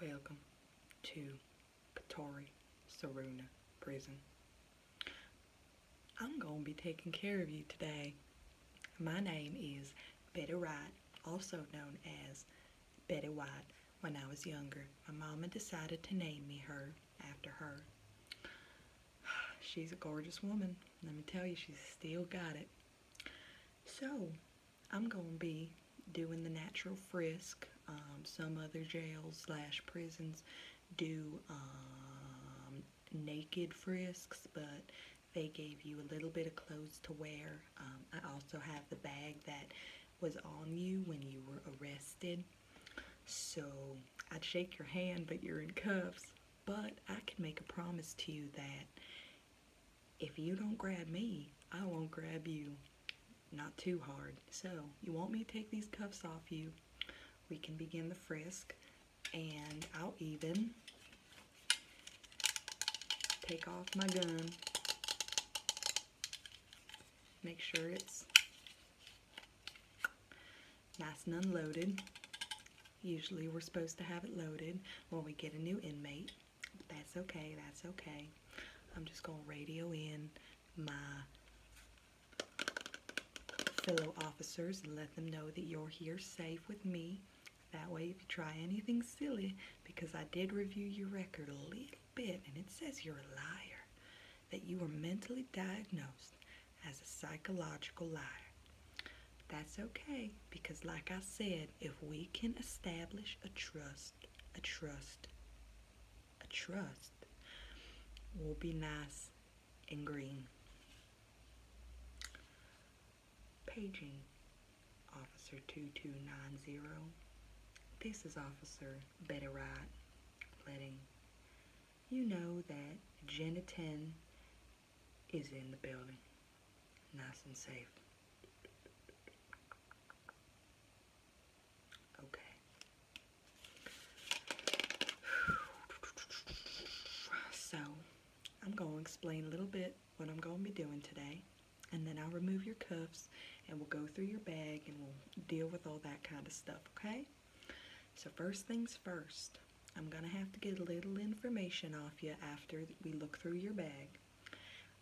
Welcome to Katori Saruna Prison. I'm going to be taking care of you today. My name is Betty White, also known as Betty White when I was younger. My mama decided to name me her after her. She's a gorgeous woman. Let me tell you, she's still got it. So I'm going to be doing the natural frisk. Um, some other jails slash prisons do um, naked frisks, but they gave you a little bit of clothes to wear. Um, I also have the bag that was on you when you were arrested. So I'd shake your hand, but you're in cuffs. But I can make a promise to you that if you don't grab me, I won't grab you. Not too hard. So, you want me to take these cuffs off you? We can begin the frisk, and I'll even take off my gun. Make sure it's nice and unloaded. Usually we're supposed to have it loaded when we get a new inmate. That's okay, that's okay. I'm just gonna radio in my fellow officers and let them know that you're here safe with me. That way, if you try anything silly, because I did review your record a little bit and it says you're a liar, that you were mentally diagnosed as a psychological liar. That's okay because, like I said, if we can establish a trust, a trust, a trust, we'll be nice and green. Paging Officer 2290. This is Officer Betty Wright letting you know that Jenna 10 is in the building, nice and safe. Okay. So, I'm going to explain a little bit what I'm going to be doing today. And then I'll remove your cuffs and we'll go through your bag and we'll deal with all that kind of stuff, okay? So first things first, I'm going to have to get a little information off you after we look through your bag.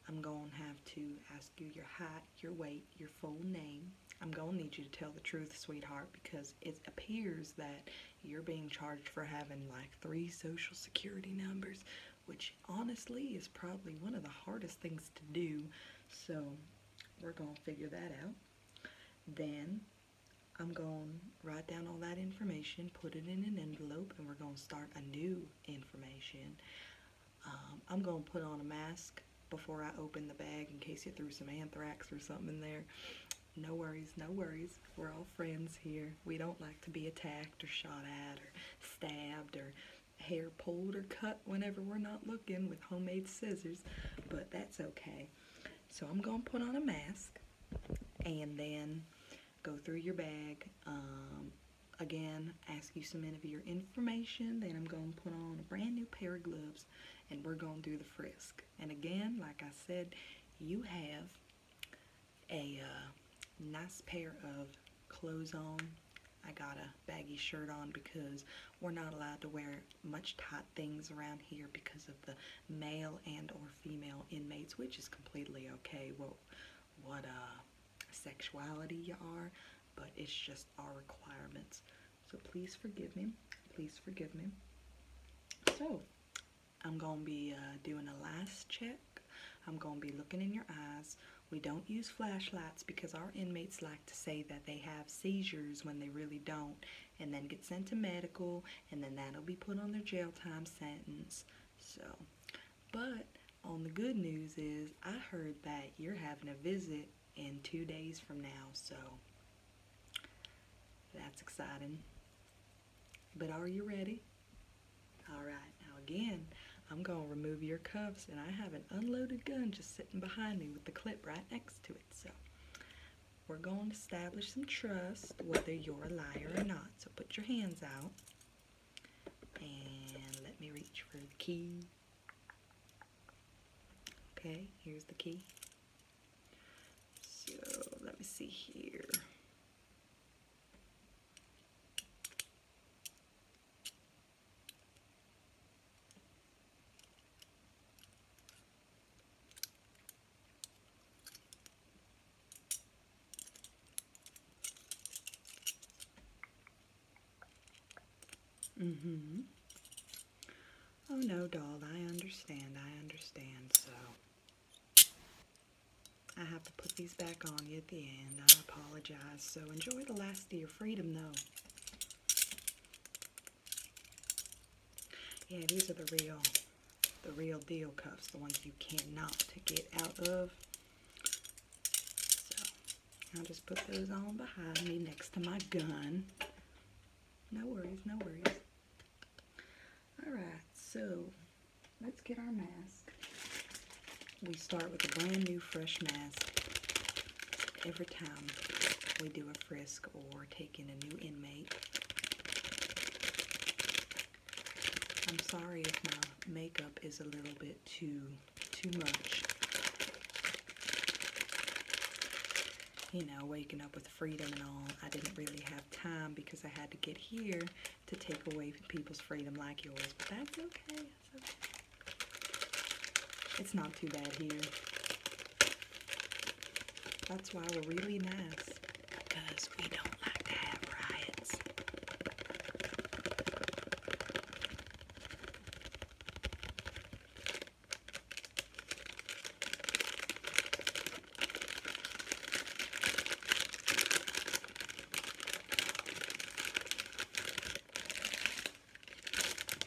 I'm going to have to ask you your height, your weight, your full name. I'm going to need you to tell the truth, sweetheart, because it appears that you're being charged for having like three social security numbers, which honestly is probably one of the hardest things to do. So we're going to figure that out. Then I'm going to write down all that information, put it in an envelope, and we're going to start a new information. Um, I'm going to put on a mask before I open the bag in case you threw some anthrax or something in there. No worries, no worries. We're all friends here. We don't like to be attacked or shot at or stabbed or hair pulled or cut whenever we're not looking with homemade scissors, but that's okay. So I'm going to put on a mask and then go through your bag. Um, again, ask you some of your information. Then I'm going to put on a brand new pair of gloves and we're going to do the frisk. And again, like I said, you have a uh, nice pair of clothes on. I got a baggy shirt on because we're not allowed to wear much tight things around here because of the male and or female inmates, which is completely okay. What what a uh, sexuality you are, but it's just our requirements. So please forgive me. Please forgive me. So I'm going to be uh, doing a last check. I'm going to be looking in your eyes. We don't use flashlights because our inmates like to say that they have seizures when they really don't and then get sent to medical and then that'll be put on their jail time sentence. So but on the good news is I heard that you're having a visit in two days from now, so that's exciting. But are you ready? All right, now again, I'm gonna remove your cuffs and I have an unloaded gun just sitting behind me with the clip right next to it, so we're going to establish some trust whether you're a liar or not. So put your hands out. And let me reach for the key. Okay, here's the key. So let me see here. Mm-hmm. Oh no, doll, I understand, I understand, so I have to put these back on you at the end. I apologize, so enjoy the last of your freedom, though. Yeah, these are the real the real deal cuffs, the ones you cannot get out of. So I'll just put those on behind me next to my gun. No worries, no worries. Alright, so let's get our mask. We start with a brand new fresh mask every time we do a frisk or take in a new inmate. I'm sorry if my makeup is a little bit too too much. You know, waking up with freedom and all, I didn't really have time because I had to get here to take away people's freedom like yours. But that's okay. That's okay. It's not too bad here. That's why we're really nice because we don't like to have riots.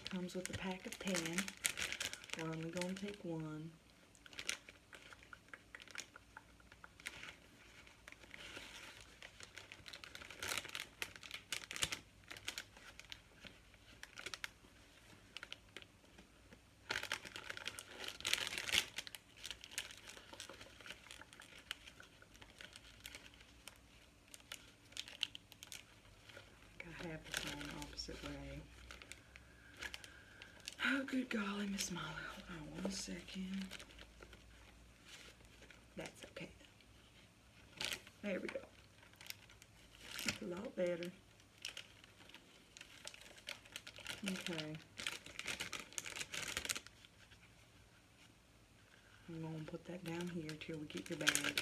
Comes with a pack of 10. We're only going to take one. I have this one opposite way. Oh, good golly, Miss Molly. Hold on one second. That's okay. There we go. That's a lot better. Okay. I'm going to put that down here till we get your bag.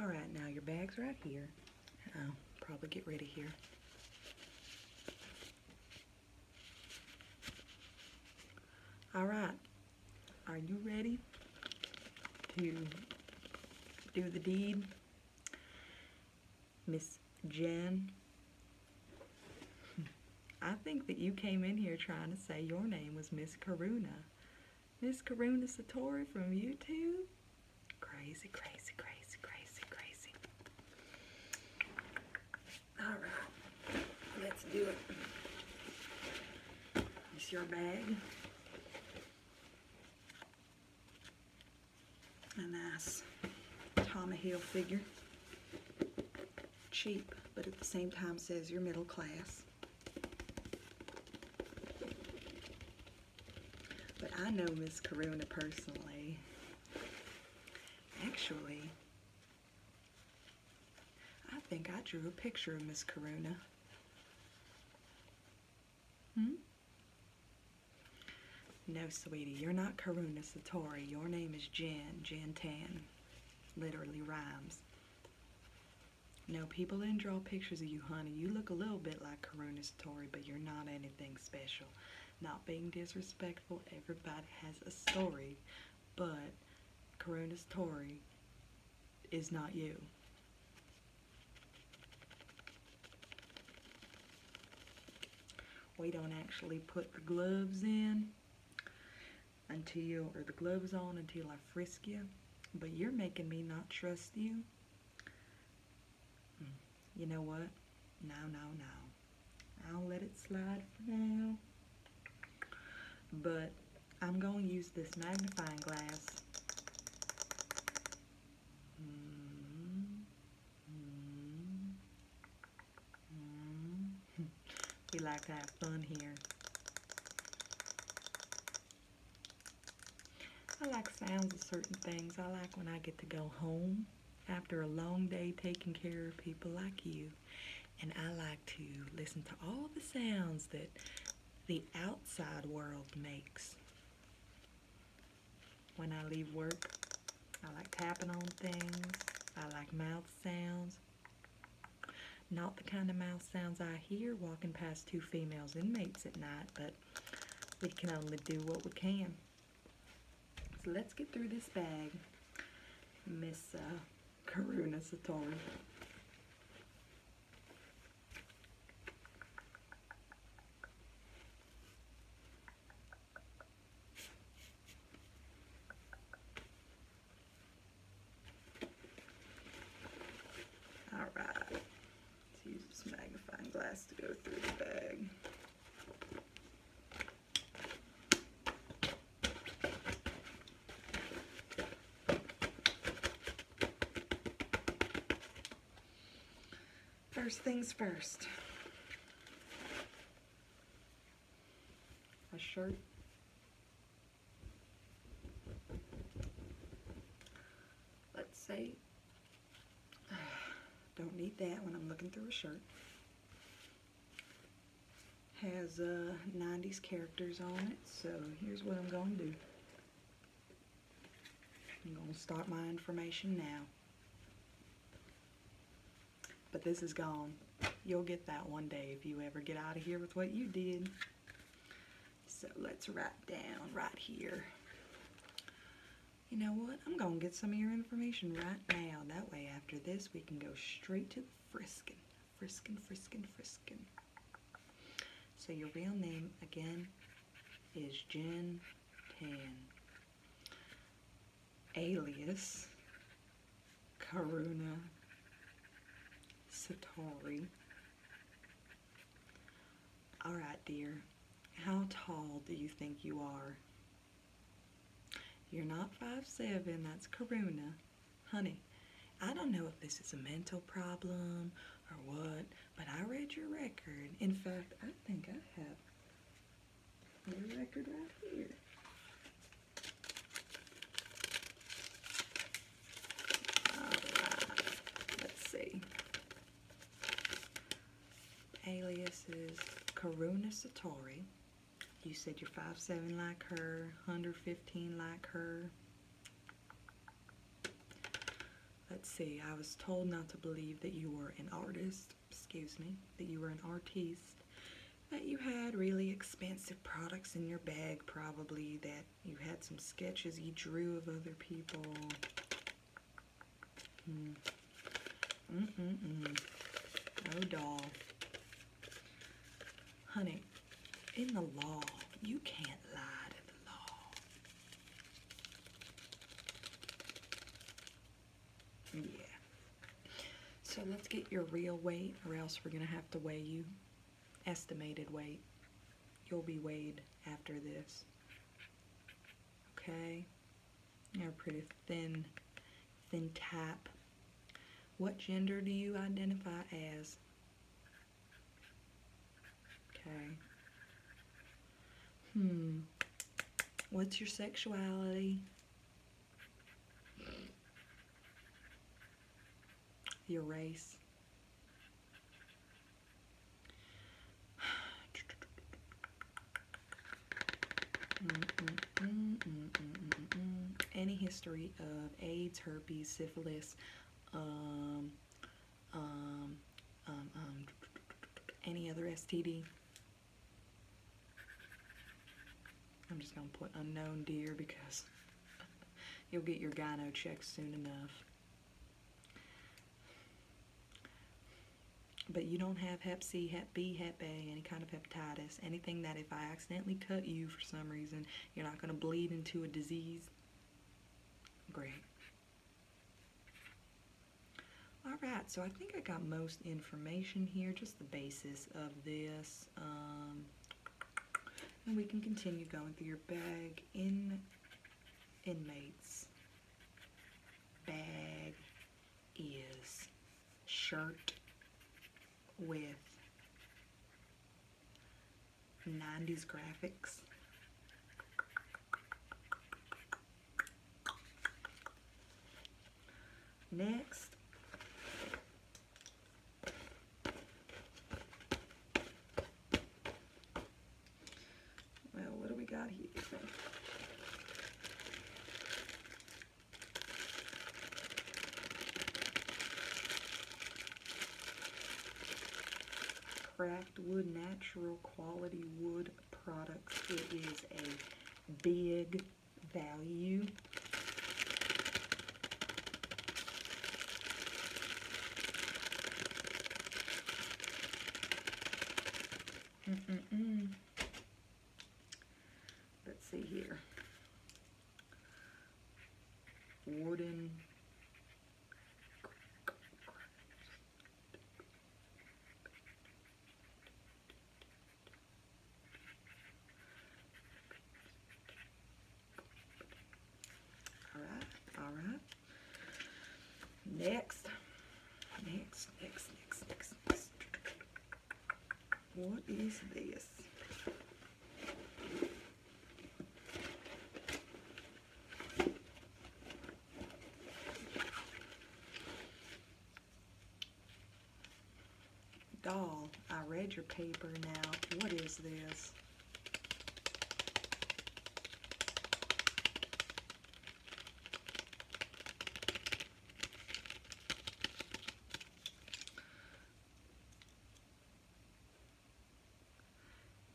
All right, now your bag's right here. I'll probably get ready here. All right, are you ready to do the deed? Miss Jen, I think that you came in here trying to say your name was Miss Karuna. Miss Karuna Satori from YouTube? Crazy, crazy, crazy, crazy, crazy. Alright, let's do it. It's your bag. A nice Tommy Hill figure. Cheap, but at the same time says you're middle class. But I know Miss Karuna personally. Actually, I think I drew a picture of Miss Karuna. Hmm? No, sweetie, you're not Karuna Satori. Your name is Jen, Jen Tan. Literally rhymes. No, people didn't draw pictures of you, honey. You look a little bit like Karuna but you're not anything special. Not being disrespectful, everybody has a story, but Karuna's story is not you. We don't actually put the gloves in until, or the gloves on until I frisk you, but you're making me not trust you. Mm you know what? No, no, no. I'll let it slide for now. But I'm going to use this magnifying glass. Mm-hmm. Mm-hmm. we like to have fun here. I like sounds of certain things. I like when I get to go home after a long day taking care of people like you. And I like to listen to all the sounds that the outside world makes. When I leave work, I like tapping on things. I like mouth sounds. Not the kind of mouth sounds I hear walking past two female inmates at night, but we can only do what we can. So let's get through this bag, Miss uh, Karuna All right let use this magnifying glass to go through the bag. First things first. A shirt. Let's say Don't need that when I'm looking through a shirt. Has 90s uh, characters on it, so here's what I'm going to do. I'm going to stop my information now. But this is gone. You'll get that one day if you ever get out of here with what you did. So let's write down right here. You know what? I'm going to get some of your information right now. That way after this we can go straight to the frisking. Frisking, frisking, frisking. So your real name again is Jen Tan. Alias Karuna Satori. Alright, dear. How tall do you think you are? You're not five seven. that's Karuna. Honey, I don't know if this is a mental problem or what, but I read your record. In fact, I think I have your record right here. right. Let's see. Alias is Karuna Satori. You said you're five seven like her, 115 like her. Let's see, I was told not to believe that you were an artist, excuse me, that you were an artist. that you had really expensive products in your bag probably, that you had some sketches you drew of other people, Mm. mm, mm, mm. doll. Honey, in the law, you can't lie to the law. Yeah. So let's get your real weight, or else we're going to have to weigh you. Estimated weight. You'll be weighed after this. Okay, they're pretty thin, thin type. What gender do you identify as? Okay. Hmm. What's your sexuality? Your race. Any history of AIDS, herpes, syphilis, um, um, um, any other STD? I'm just gonna put unknown deer because you'll get your gyno check soon enough. But you don't have hep C, hep B, hep A, any kind of hepatitis, anything that if I accidentally cut you for some reason, you're not going to bleed into a disease. Great. All right, so I think I got most information here, just the basis of this. Um, and we can continue going through your bag in inmates bag is shirt with 90s graphics next well, what do we got here? Craft Wood Natural Quality Wood Products. It is a big value. Let's see here. Warden. All right, all right. Next, next, next, next, next, next. What is this? Doll, I read your paper now. What is this?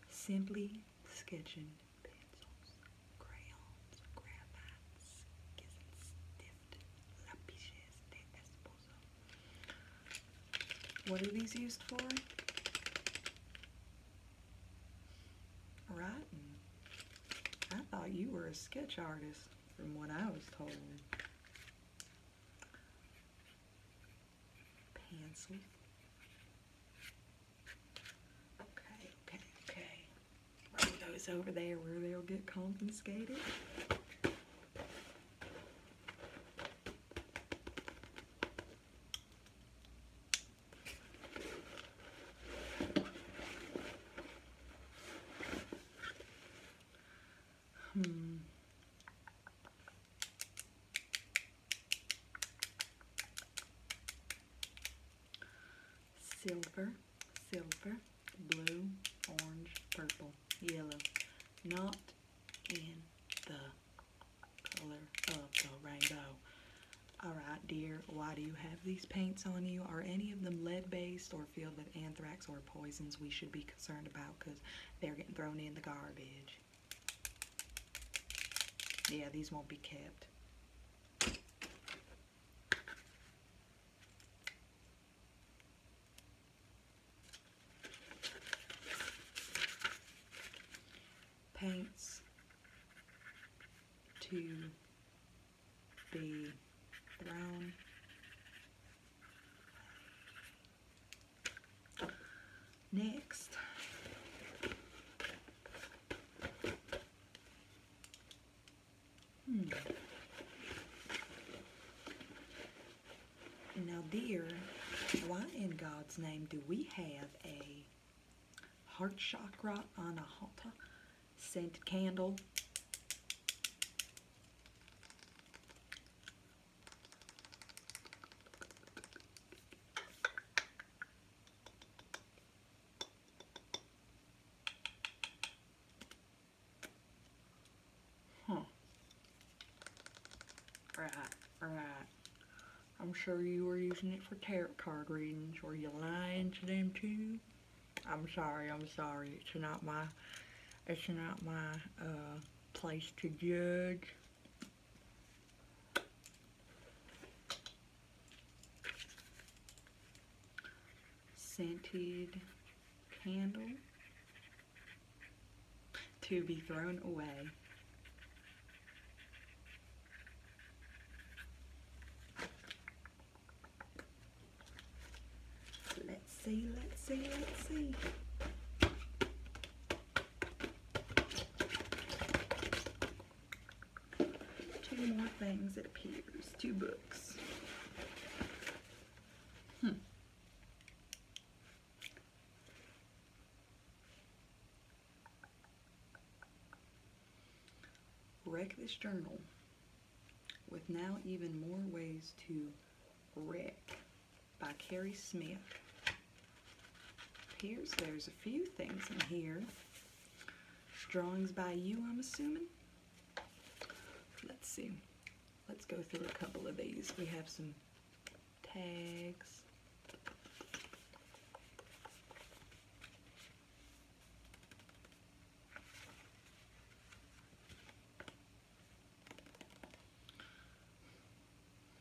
Simply sketching pencils, crayons, graphites, gizzards, stift, lapiches de esposo. What are these used for? Right. I thought you were a sketch artist from what I was told. Pencil. Okay, okay, okay. those over there where they'll get confiscated. Hmm. Silver, silver, blue, orange, purple, yellow. Not in the color of the rainbow. Alright dear, why do you have these paints on you? Are any of them lead-based or filled with anthrax or poisons we should be concerned about because they're getting thrown in the garbage? Yeah, these won't be kept paints to be brown. Next, hmm. now dear, why in God's name do we have a heart chakra anahata scented candle. Huh. Right, right. I'm sure you were using it for tarot card readings. Were you lying to them too? I'm sorry, I'm sorry. It's not my, it's not my uh, place to judge. Scented candle to be thrown away. Let's see, let's see, let's see. Two more things, it appears. Two books. Hmm. Wreck this journal with now even more ways to wreck by Carrie Smith. Appears there's a few things in here. Drawings by you, I'm assuming. Let's see. Let's go through a couple of these. We have some tags.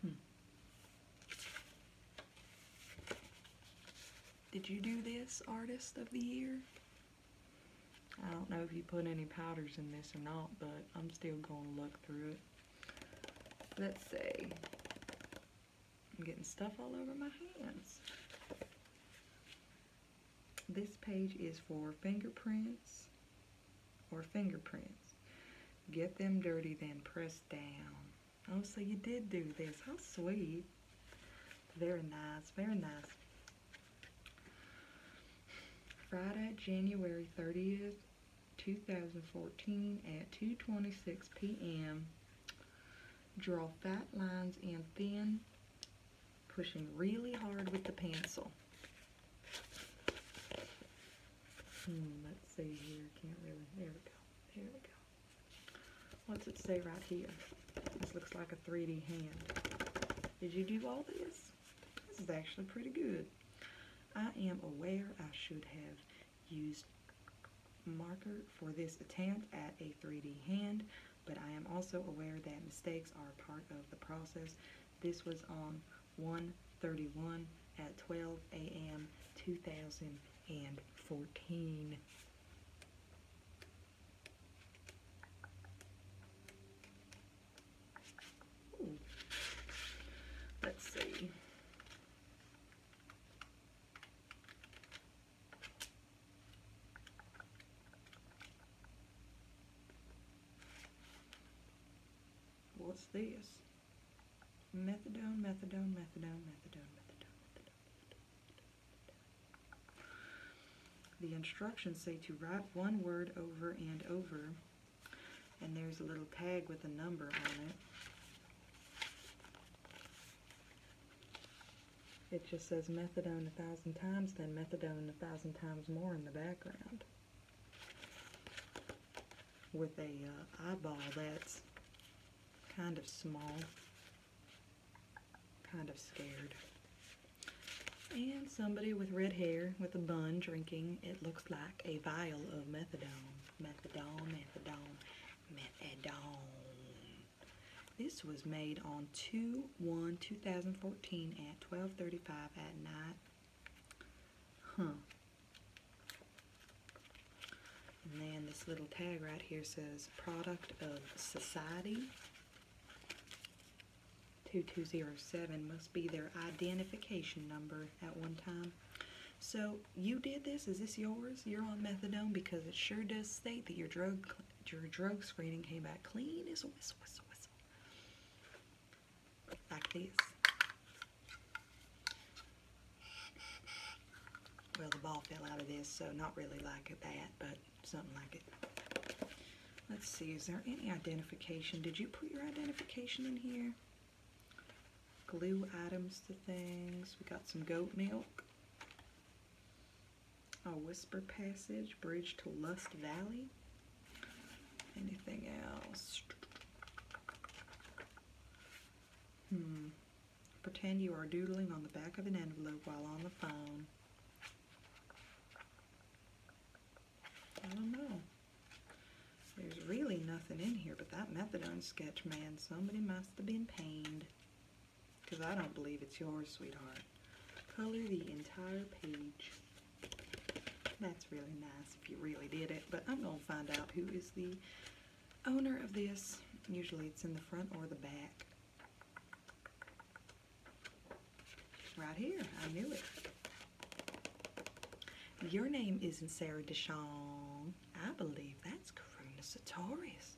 Hmm. Did you do this artist of the year? I don't know if you put any powders in this or not, but I'm still going to look through it. Let's see. I'm getting stuff all over my hands. This page is for fingerprints or fingerprints. Get them dirty, then press down. Oh, so you did do this. How sweet. Very nice, very nice. Friday, January 30th 2014 at 2.26 p.m. Draw fat lines and thin, pushing really hard with the pencil. Hmm, let's see here. Can't really. There we go. There we go. What's it say right here? This looks like a 3D hand. Did you do all this? This is actually pretty good. I am aware I should have used marker for this attempt at a 3D hand, but I am also aware that mistakes are part of the process. This was on 131 at 12 a.m. 2014. Let's see. What's this? Methadone, methadone, methadone, methadone, methadone, The instructions say to write one word over and over and there's a little tag with a number on it. It just says methadone a thousand times, then methadone a thousand times more in the background. With a uh, eyeball that's kind of small, kind of scared. And somebody with red hair with a bun drinking, it looks like a vial of methadone methadone, methadone, methadone. This was made on 2-1-2014 at 1235 at night. Huh. And then this little tag right here says product of society. 2207 must be their identification number at one time. So you did this? Is this yours? You're on methadone because it sure does state that your drug your drug screening came back clean as a whistle, whistle, whistle. Like this. Well, the ball fell out of this, so not really like it that, but something like it. Let's see, is there any identification? Did you put your identification in here? glue items to things. We got some goat milk. A whisper passage, bridge to Lust Valley. Anything else? Hmm. Pretend you are doodling on the back of an envelope while on the phone. I don't know. There's really nothing in here but that methadone sketch, man. Somebody must have been pained. Because I don't believe it's yours, sweetheart. Color the entire page. That's really nice if you really did it. But I'm going to find out who is the owner of this. Usually it's in the front or the back. Right here. I knew it. Your name isn't Sarah Deshawn. I believe that's Karuna Sartorius.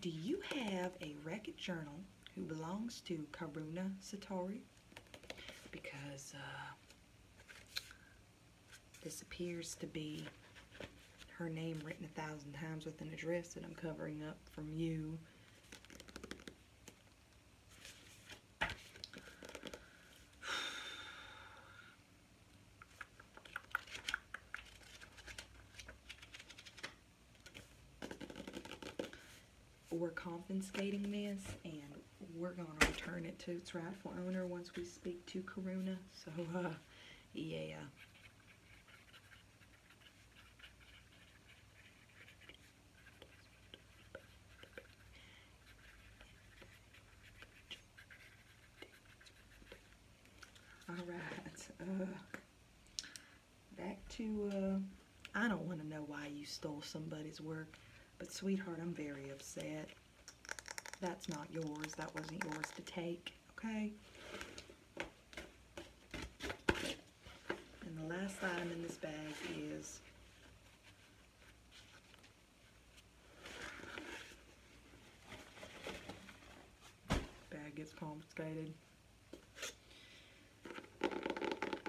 Do you have a record journal who belongs to Karuna Satori? Because uh, this appears to be her name written a thousand times with an address that I'm covering up from you. We're confiscating this and we're going to return it to its rightful owner once we speak to Karuna. So, uh, yeah. All right. Uh, back to, uh, I don't want to know why you stole somebody's work, but sweetheart, I'm very upset. That's not yours. That wasn't yours to take, okay? And the last item in this bag is Bag gets confiscated.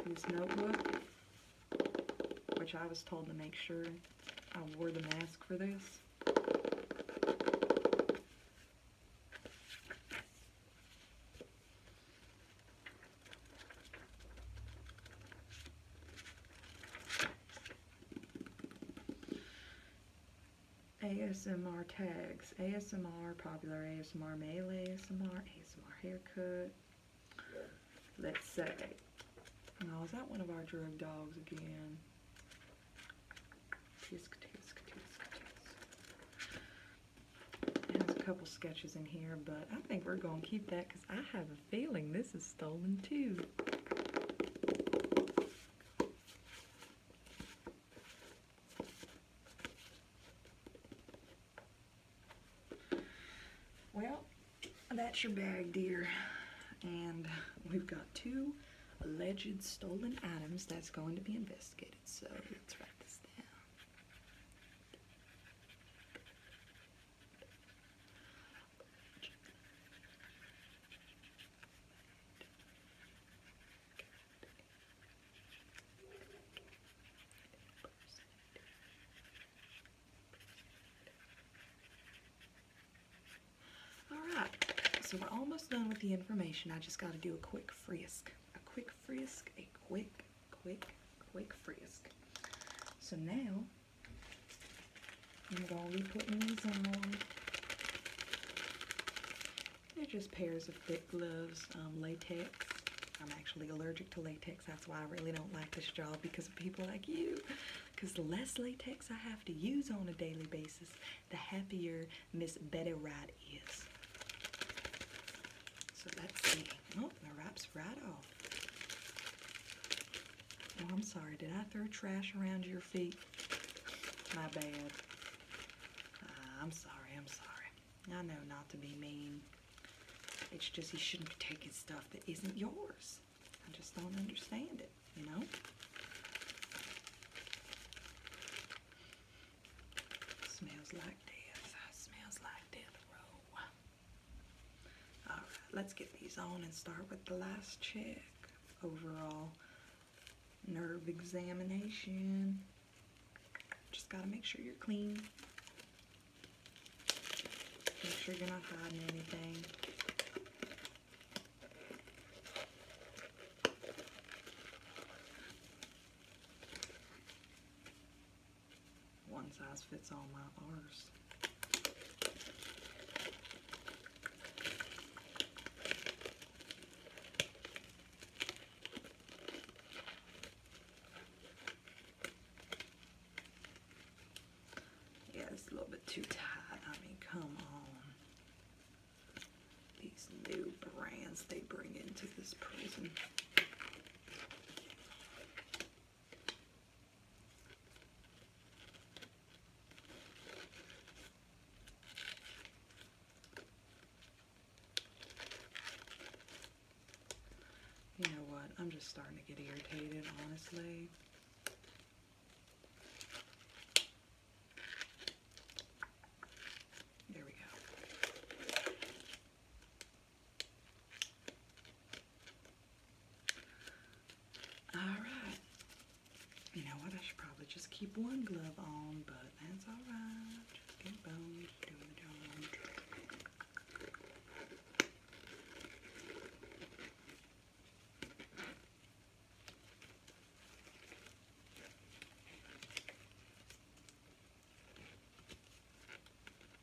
This notebook, which I was told to make sure I wore the mask for this. ASMR tags, ASMR, popular ASMR, male ASMR, ASMR haircut. Let's say, oh, is that one of our drug dogs again? Tisk, tisk, tisk, tisk. It has a couple sketches in here, but I think we're going to keep that I have a feeling this is stolen too. Well, that's your bag, dear. And we've got two alleged stolen items that's going to be investigated. So let's write this down. Alright, so we're almost done with the information. I just got to do a quick frisk. A quick frisk, a quick, quick, quick frisk. So now I'm going to be putting these on. They're just pairs of thick gloves, um, latex. I'm actually allergic to latex. That's why I really don't like this job because of people like you. Because the less latex I have to use on a daily basis, the happier Miss Betty Wright is. So let's see. Oh, raps right off. Oh, I'm sorry. Did I throw trash around your feet? My bad. Ah, I'm sorry. I'm sorry. I know not to be mean. It's just he shouldn't be taking stuff that isn't yours. I just don't understand it, you know? Smells like death. Smells like death row. All right, let's get these on and start with the last check. Overall nerve examination. Just gotta make sure you're clean. Make sure you're not hiding anything one size fits all my R's. Yeah, it's a little bit too tight. I mean, come on. These new brands they bring into this prison. You know what? I'm just starting to get irritated, honestly. There we go. Alright. You know what? I should probably just keep one glove on, but that's alright. Just get boned doing the job.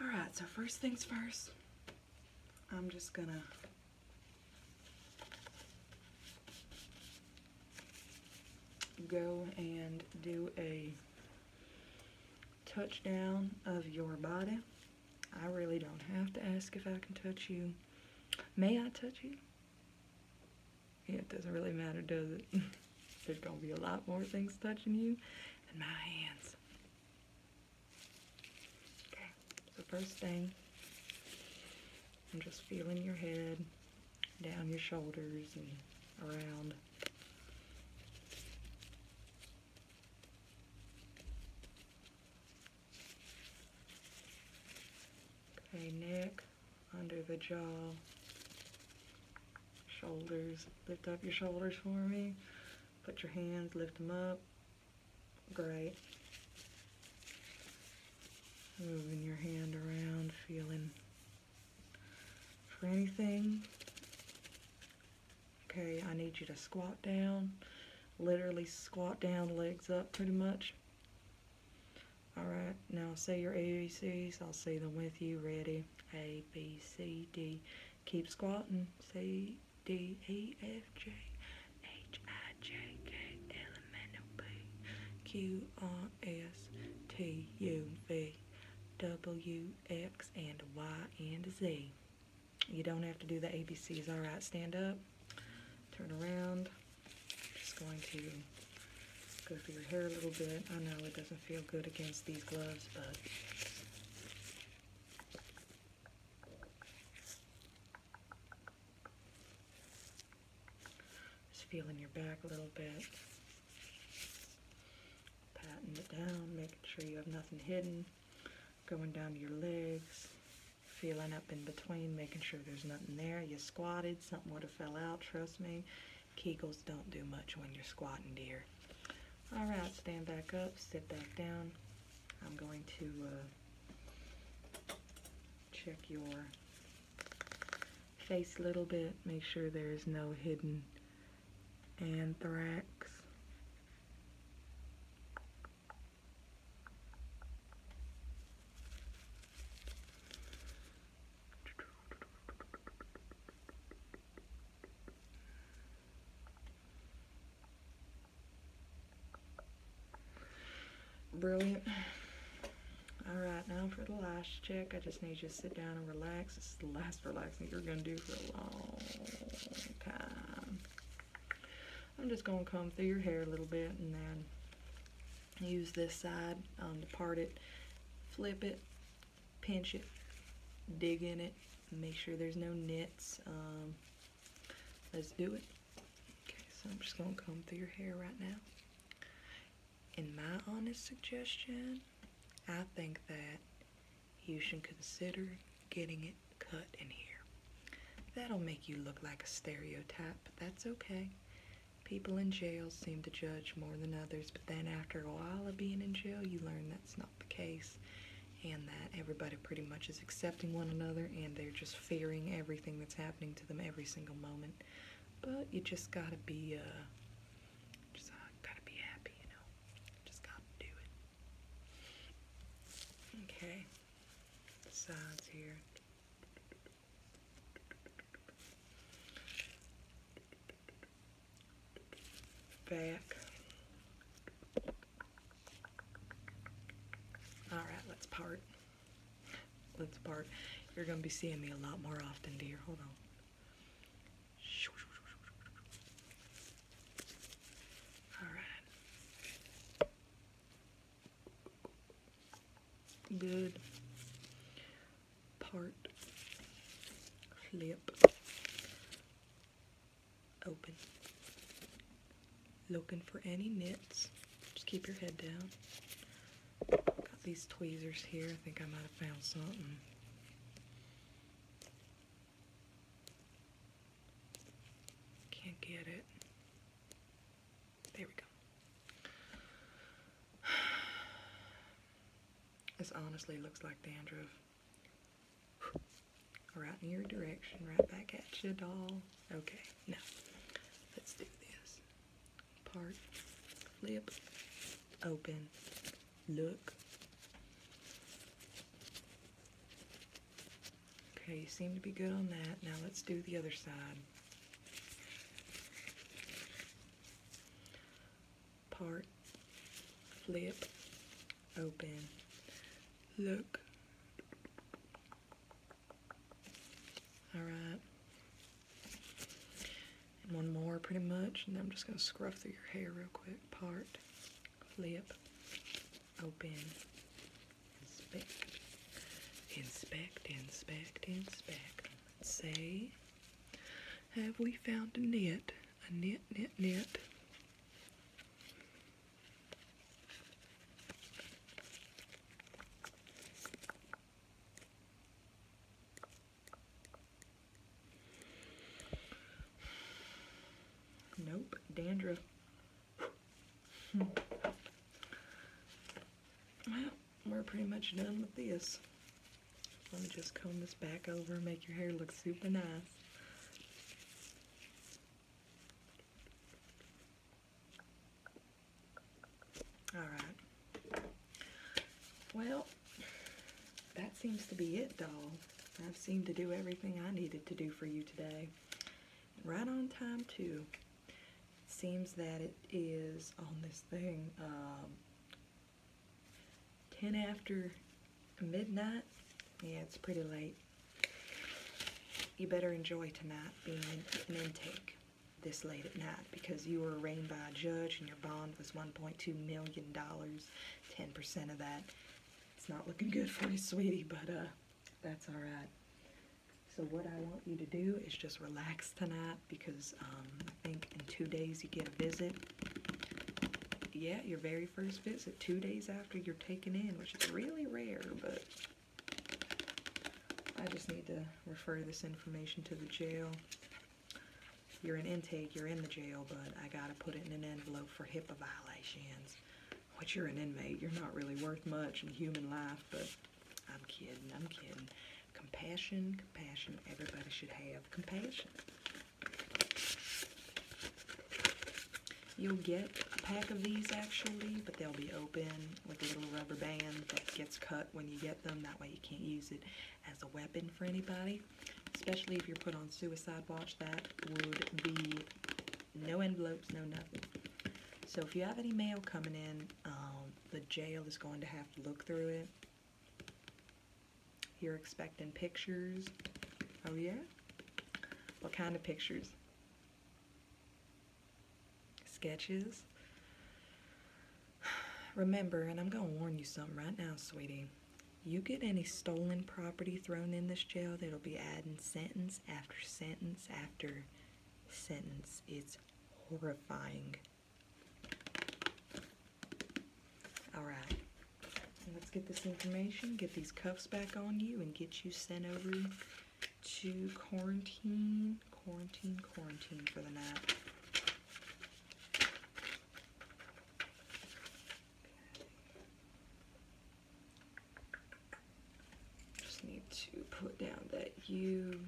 All right, so first things first, I'm just gonna go and do a touchdown of your body. I really don't have to ask if I can touch you. May I touch you? it doesn't really matter, does it? There's gonna be a lot more things touching you than my hands. Okay, so first thing, I'm just feeling your head, down your shoulders, and around. Okay, neck, under the jaw, shoulders, lift up your shoulders for me. Put your hands, lift them up. Great. Moving your hand around, feeling for anything. Okay, I need you to squat down. Literally squat down, legs up pretty much. All right, now say your ABCs. I'll say them with you. Ready? A, B, C, D. Keep squatting. C, D, E, F, G, H, I, J, K, L, M, N, O, P, Q, R, S, T, U, V, W, X, and Y, and Z. You don't have to do the ABCs. All right, stand up, turn around. just going to go through your hair a little bit. I know it doesn't feel good against these gloves, but just feeling your back a little bit. Patting it down, making sure you have nothing hidden. Going down to your legs, feeling up in between, making sure there's nothing there. You squatted, something would have fell out, trust me. Kegels don't do much when you're squatting, dear. All right, stand back up, sit back down. I'm going to uh, check your face a little bit, make sure there is no hidden anthrax. Brilliant. All right, now for the last check, I just need you to sit down and relax. This is the last relaxing you're going to do for a long time. I'm just going to comb through your hair a little bit and then use this side um, to part it, flip it, pinch it, dig in it, make sure there's no nits. Um, let's do it. Okay, so I'm just gonna comb through your hair right now. In my honest suggestion, I think that you should consider getting it cut in here. That'll make you look like a stereotype, but that's okay. People in jail seem to judge more than others, but then after a while of being in jail, you learn that that's not the case, and that everybody pretty much is accepting one another and they're just fearing everything that's happening to them every single moment. But you just gotta be, uh, just uh, gotta be happy, you know. Just gotta do it. Okay. The sides here back. All right, let's part. Let's part. You're gonna be seeing me a lot more often, dear. Hold on. All right. Good part, flip, open. Looking for any knits, just keep your head down. Got these tweezers here, I think I might have found something. Can't get it. There we go. This honestly looks like dandruff. Right in your direction, right back at you, doll. Okay, now let's do this. Part, Lip open, look. Okay, you seem to be good on that. Now let's do the other side part, flip, open, look. All right. And one more pretty much, and then I'm just gonna scruff through your hair real quick. Part, flip, open, inspect, inspect, inspect, inspect. Say, have we found a knit? a knit, knit, knit. Nope, dandruff. Hmm. Well, we're pretty much done with this. Let me just comb this back over and make your hair look super nice. Alright. Well, that seems to be it, doll. I've seemed to do everything I needed to do for you today. Right on time, too. Seems that it is on this thing, um, 10 after midnight. Yeah, it's pretty late. You better enjoy tonight being an intake this late at night because you were arraigned by a judge and your bond was $1.2 million. 10% of that. It's not looking good for you, sweetie, but uh, that's all right. So what I want you to do is just relax tonight because um, I think in two days you get a visit yeah, your very first visit, two days after you're taken in, which is really rare, but I just need to refer this information to the jail. You're an intake, you're in the jail, but I gotta put it in an envelope for HIPAA violations. Which you're an inmate, you're not really worth much in human life, but I'm kidding, I'm kidding. Compassion, compassion, everybody should have compassion. You'll get a pack of these actually, but they'll be open with a little rubber band that gets cut when you get them. That way you can't use it as a weapon for anybody, especially if you're put on suicide watch. That would be no envelopes, no nothing. So if you have any mail coming in, um, the jail is going to have to look through it you're expecting pictures. Oh, yeah? What kind of pictures? Sketches? Remember, and I'm going to warn you something right now, sweetie. You get any stolen property thrown in this jail, that'll be adding sentence after sentence after sentence. It's horrifying. All right. Let's get this information, get these cuffs back on you, and get you sent over to quarantine, quarantine, quarantine for the night. Just need to put down that you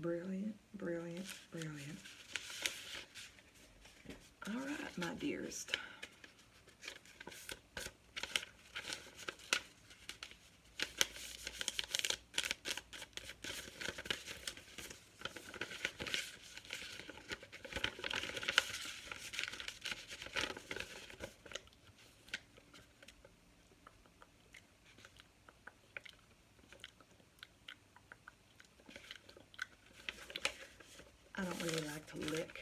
Brilliant, brilliant, brilliant. All right, my dearest. I don't really like to lick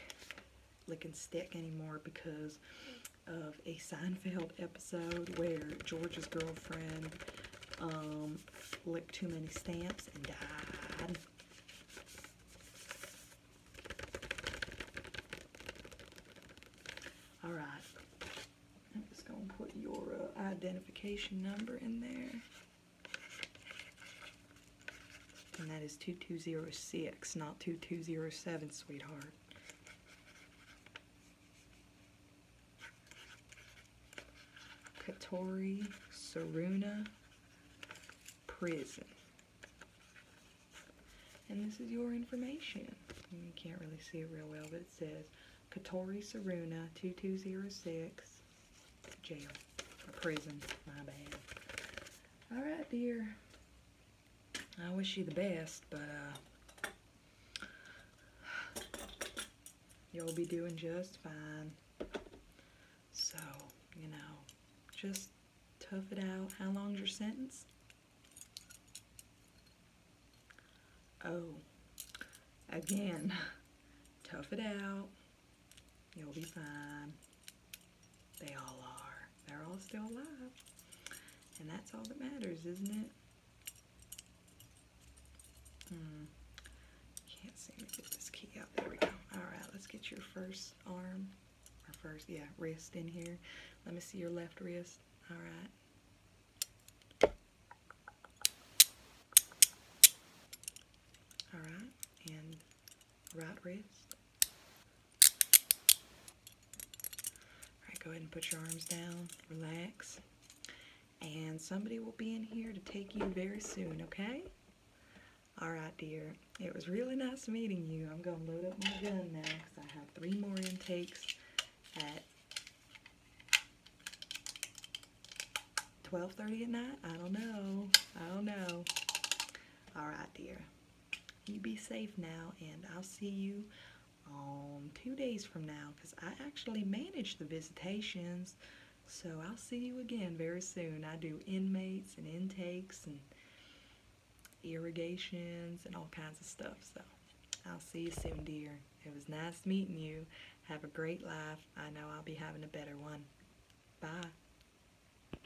licking stick anymore because of a Seinfeld episode where George's girlfriend um, licked too many stamps and died. Alright, I'm just going to put your uh, identification number in there. And that is 2206, not 2207, sweetheart. Katori Saruna Prison. And this is your information. You can't really see it real well, but it says Katori Saruna 2206 jail or prison. My bad. All right, dear. I wish you the best, but uh, you'll be doing just fine. So, you know, just tough it out. How long's your sentence? Oh, again, tough it out. You'll be fine. They all are. They're all still alive. And that's all that matters, isn't it? Hmm. Can't seem to get this key out. There we go. Alright, let's get your first arm. Or first, yeah, wrist in here. Let me see your left wrist. Alright. Alright, and right wrist. All right, go ahead and put your arms down, relax, and somebody will be in here to take you very soon, okay? All right, dear. It was really nice meeting you. I'm going to load up my gun now because I have three more intakes at 12.30 at night? I don't know. I don't know. All right, dear you be safe now, and I'll see you um, two days from now because I actually manage the visitations. So I'll see you again very soon. I do inmates and intakes and irrigations and all kinds of stuff. So I'll see you soon, dear. It was nice meeting you. Have a great life. I know I'll be having a better one. Bye.